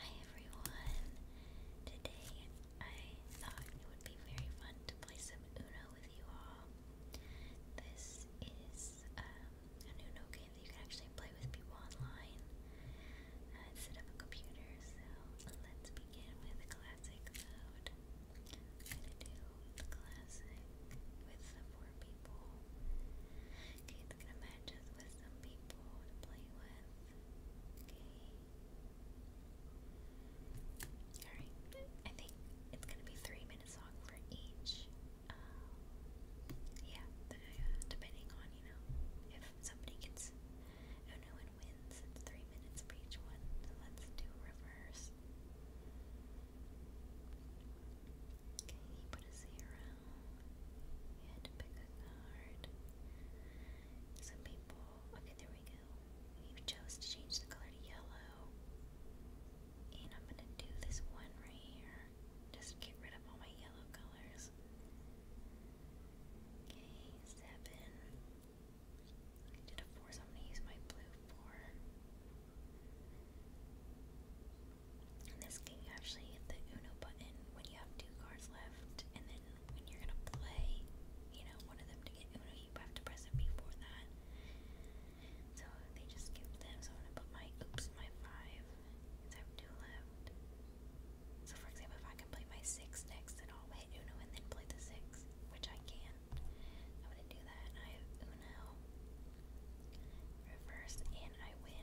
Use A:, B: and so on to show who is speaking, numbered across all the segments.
A: Hi everyone! Today I thought it would be very fun to play some Uno with you all. This is um, an game that you can actually play with people online uh, instead of a computer. So let's begin with classic mode. going to do classic with four people. Okay, they're with Okay. Alright, I think it's gonna be three minutes long for each. Um, yeah, depending on, you know, if somebody gets, no, no one wins, three minutes for each one. let's do reverse. Okay, put a zero. We had to pick a card. Some people. Okay, there we go. We chose to change the color to yellow. And I'm gonna do this one right here. Just get rid of all my yellow colors. Okay, seven. I did a four, I'm gonna use my blue four. In this game, you actually hit the Uno button when you have two cards left, and then when you're gonna play, you know, one of them to get Uno, you have to press it before that. So they just skipped them. So I'm gonna put my oops, my five, because I have two left. So for example, if I can play my six next, then I'll hit Uno and then play the six, which I can. I'm gonna do that. I have Uno, reverse, and I win.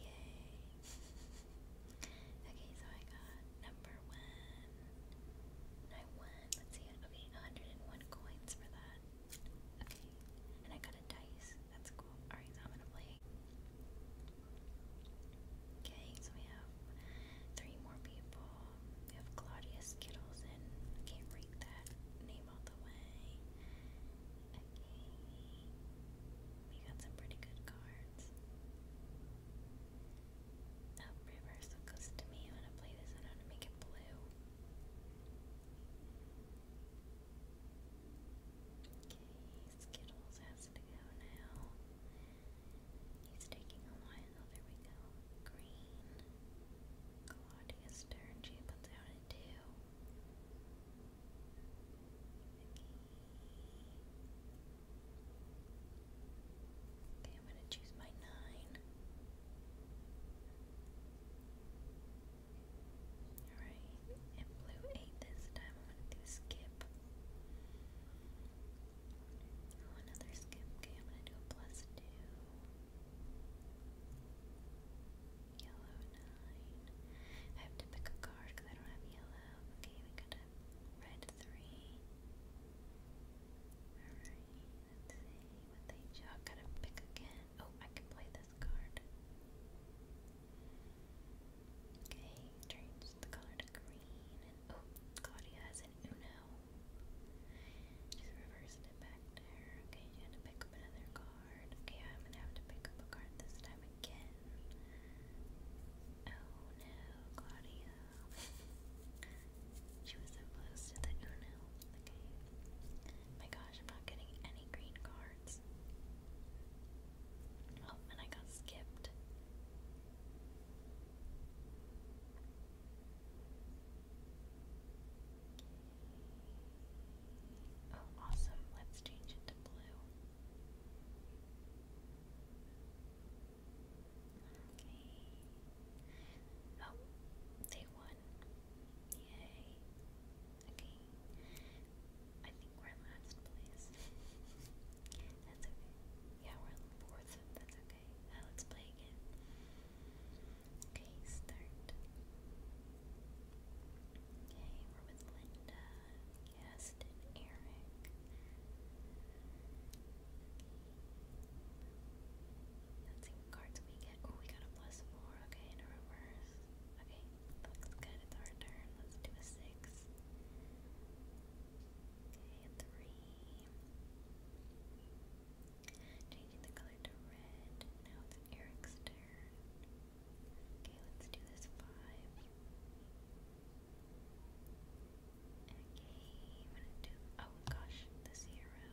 A: Yay. okay, so I got number one. And let's see, okay, 101 coins for that. Okay, and I got a dice. That's cool. Alright, I'm gonna play. Okay, so we have three more people. We have Claudia Skittles, and I can't read that name all the way. We got some pretty good cards. Up reverse looks to me. I'm gonna play this I'm to make it blue. Okay, Skittles has to go now. He's taking a while. There we go. Green. Claudia's turn. She puts out two. Okay, I'm going to choose my nine. Alright, and blue eight this time. I'm going to do skip. Oh, another skip. Okay, I'm going to do plus two. Yellow nine. I have to pick a card because I don't have yellow. Okay, we got a red three. Alright, let's see what they jog. Gotta pick again. Oh, I can play this card. Okay, turns the color to green. oh, Claudia has an Uno. Just reversed it back there. Okay, you gotta pick up another card. Okay, I'm gonna have to pick up a card this time again. Oh no, Claudia. she was so to the Uno. Oh, okay. My gosh, I'm not getting any green cards. Oh, and I got skipped. Oh, awesome. Let's change it blue. Okay. Oh, they won. Yay. Okay. I think we're last place. That's okay. Yeah, we're in fourth. That's okay. Uh, let's play again. Okay, start. Okay, we're with Linda, Gaston, Eric. Let's see what cards we get. Oh, we got a plus four. Okay, and a reverse. Okay, looks good. It's our turn. Let's do a six. Okay, three. Changing the color to red. Now it's Eric's turn. Okay, let's do this five. Okay, I'm gonna do oh gosh, the zero.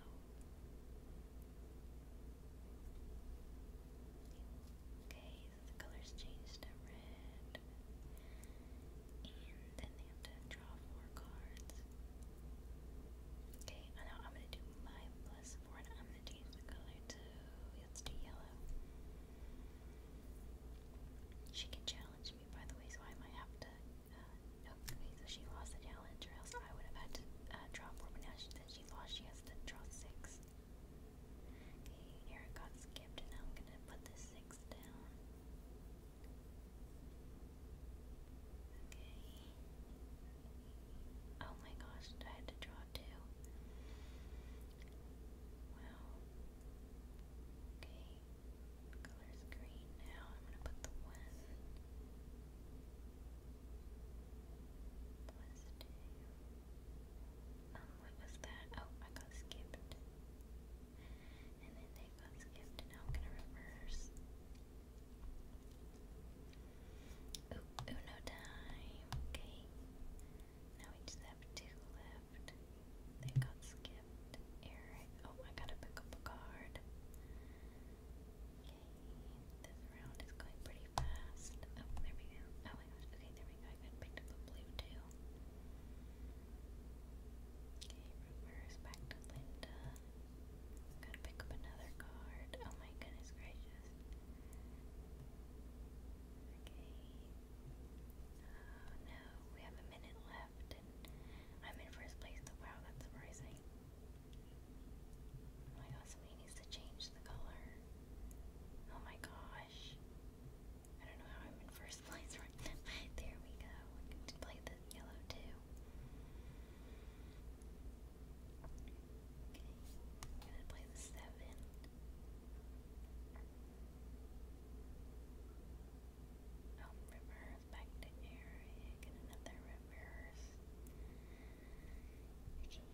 A: Okay, the colors change to red. And then they have to draw four cards. Okay, I I'm gonna do my plus she can challenge me, by the way, so I might have to. Uh, oh, okay, so she lost the challenge, or else I would have had to uh, draw four. now she said she lost, she has to draw six. Okay, Eric got skipped, and I'm gonna put the six down. Okay, Oh my gosh, I had to draw two. Wow. Okay. Color's green now. I'm gonna put the one plus two. Um, what was that? Oh, I got skipped. And then they got skipped now I'm gonna reverse. Uno time. Okay. Now we just have two left. They got skipped. Eric. Oh, I gotta pick up a card. Okay. This round is going pretty fast. Oh, there we go. Oh my gosh. Okay, there we go. I got picked up a blue too. Okay, reverse back to Linda. Gotta pick up another card. Oh my goodness gracious. Oh no, we have a minute left I'm in first place. wow, that's surprising. Oh my god, somebody needs to change the color. Oh my gosh. I don't know how I'm in first place there we go. We can play the yellow too. I'm gonna play the seven. Oh, reverse back to area. Get another reverse. Okay,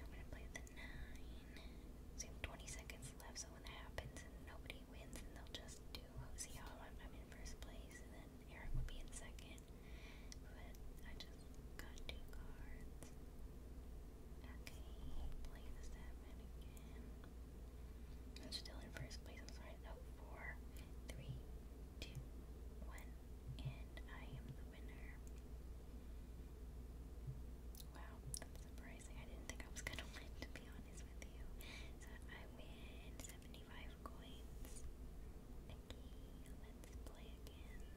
A: I'm gonna play the nine. So 20 seconds left, so when that happens and nobody wins, and they'll just do, oh, see how I'm, i in first place, and then Eric would be in second. But I just got two cards. Okay, play the seven again. I'm still in first place, I'm sorry. Oh, four, three, two, one, and I am the winner. Wow, that's surprising. I didn't think I was gonna win, to be honest with you. So I win 75 coins. Okay, let's play again.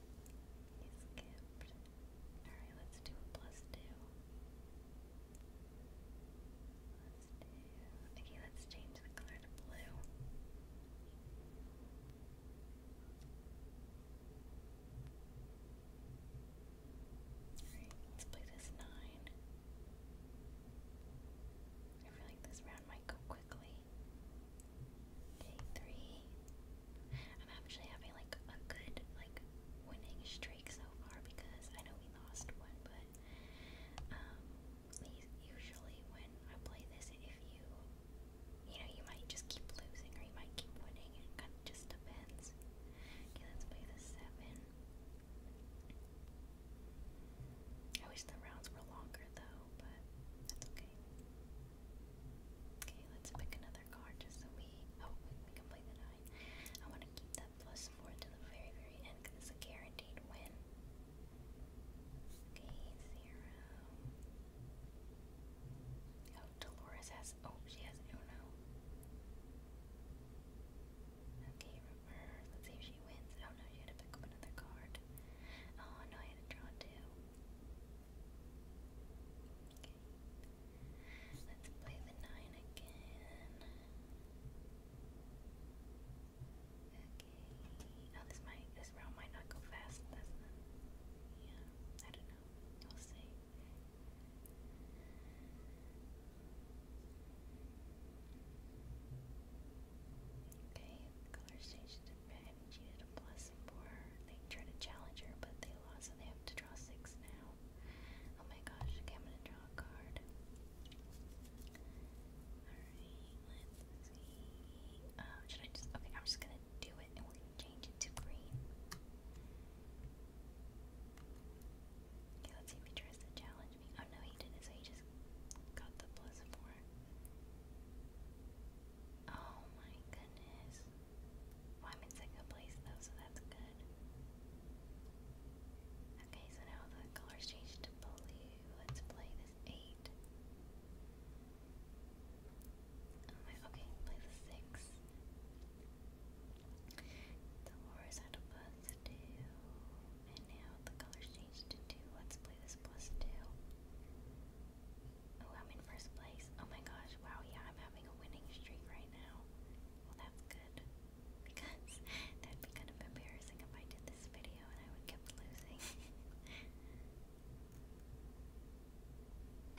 A: He Alright, let's do a plus two. Okay, let's change the color to blue. Alright, let's play this nine. I feel like this round might go quickly. Day three. I'm actually having like a good like winning streak so far because I know we lost one, but um, usually when I play this, if you you know you might just keep losing or you might keep winning. It kind of just depends. Okay, let's play the seven. I wish the rounds were longer though, but that's okay. Okay, let's pick another card just so we. Oh, we, can play the nine. I want to keep that plus four to the very, very end because it's a guaranteed win. Okay, zero. Oh, Dolores has. Oh, she has Uno. Oh, okay, reverse. Let's see if she wins. Oh no, she had to pick up another card. Oh no, I had to draw two. Okay. Let's play the nine again. Okay. Oh, this might this round might not go fast, Yeah, I don't know. We'll see. Okay, the color change to red haven't a plus before. They tried to challenge her, but they lost, so they have to draw six now. Oh my gosh, I'm gonna draw a card. Alright, let's see. Oh, should I just. Okay, I'm just gonna do it and we're change it to green. Okay, let's see if he tries to challenge me. Oh no, he didn't, so he just got the plus four. Oh my goodness. Well, I'm place though, so that's good. Okay, so now the color's changed to blue. Let's play this 8. Oh my, okay, play the 6. The horse had a plus 2. And now the color's changed to 2. Let's play this plus 2. Oh, I'm in first place. Oh my gosh, wow, yeah, I'm having a winning streak right now. Well, that's good. Because that'd be kind of embarrassing if I did this video and I kept losing.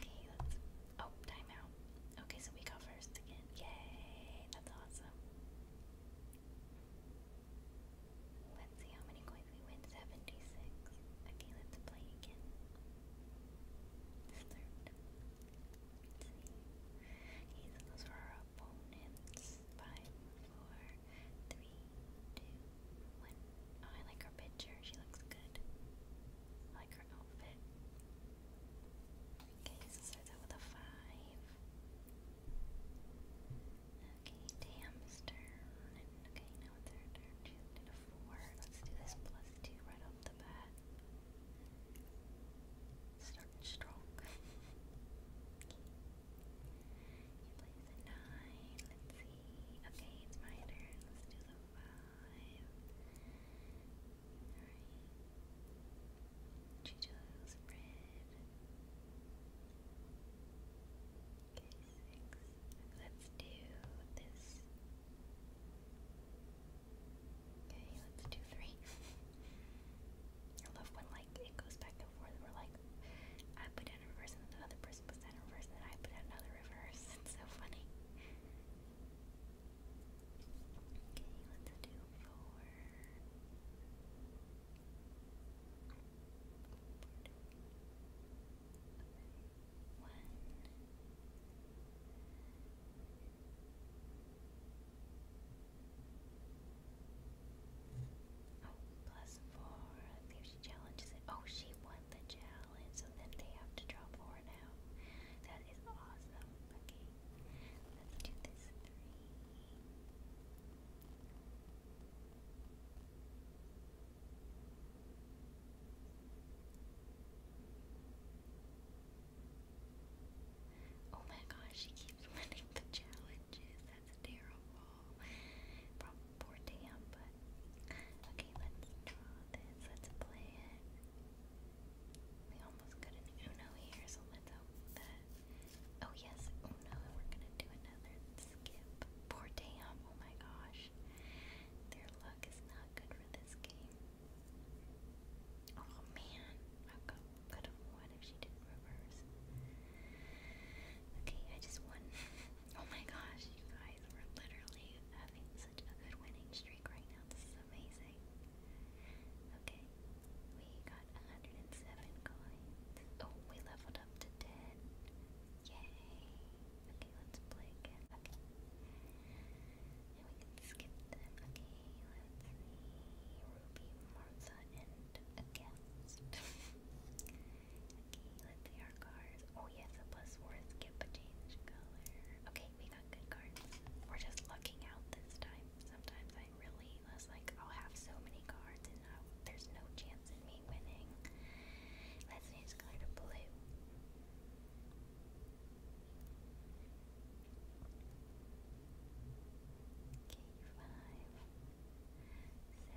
A: okay, let's. Oh, timeout. Okay, so we got first again. Yay! That's awesome. Let's see how many coins we win. 76. Okay, let's play again. Disturbed. Okay, those are our opponents. 5, I like her picture. She looks good. like her outfit. Okay, so starts out with a 5. Okay, Tam's Okay, now it's her turn. She's let Let's do this plus two right off the bat. Starting strong. okay. He plays nine. Let's see. Okay, it's my turn. Let's do the five. Alright. She chose red. Let's do this. Okay, let's do three. I love when like it goes back and forth. We're like, I put in reverse, and the other person puts that in reverse, and I put in another reverse. It's so funny. Okay, let's do four. Oh, plus four. I think she challenges it. Oh, she won the challenge, so then they have to draw four now. That is awesome. Okay, let's do this three. Oh my gosh, she keeps winning the challenges. That's terrible. Probably poor damn, but okay, let's draw this. Let's play it. We almost got an Uno here, so let's hope that. Oh yes, Uno, we're gonna do another Poor Tam, oh my gosh. Their luck is not good for this game. Oh man, I could have won if she didn't reverse. Okay, I just won. oh my gosh, you guys, are literally having such a good winning streak right now. This is amazing. Okay, we got 107 coins. Oh, we leveled up to 10. Yay! Okay, let's play Okay. And we can skip them. Okay, let's see. Ruby, Martha, and a guest. okay, let's see our cards. Oh yes, the plus four is skip a change color. Okay, we got good cards. We're just lucking out this time. Sometimes I really was like, I'll have so many cards no, there's no chance in me winning. Let's just go to blue. Okay, five,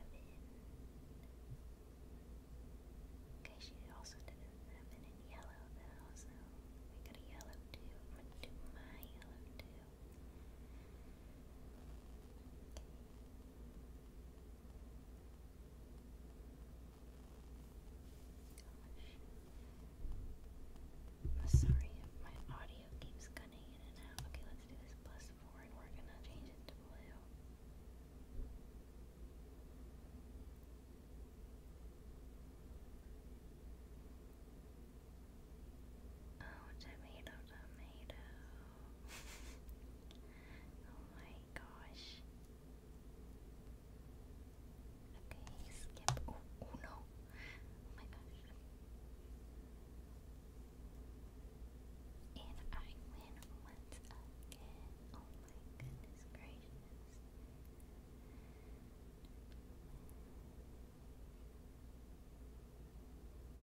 A: seven. Okay, she also didn't have in yellow though, so we got a yellow too. I'm gonna do my yellow too. Oh, I'm sorry if my audio keeps cutting in and out. Okay, let's do this plus four and we're gonna change it to blue. Oh, tomato, tomato oh my gosh. Okay, skip. Oh, no. Oh my gosh. And I win once again. Oh my goodness gracious.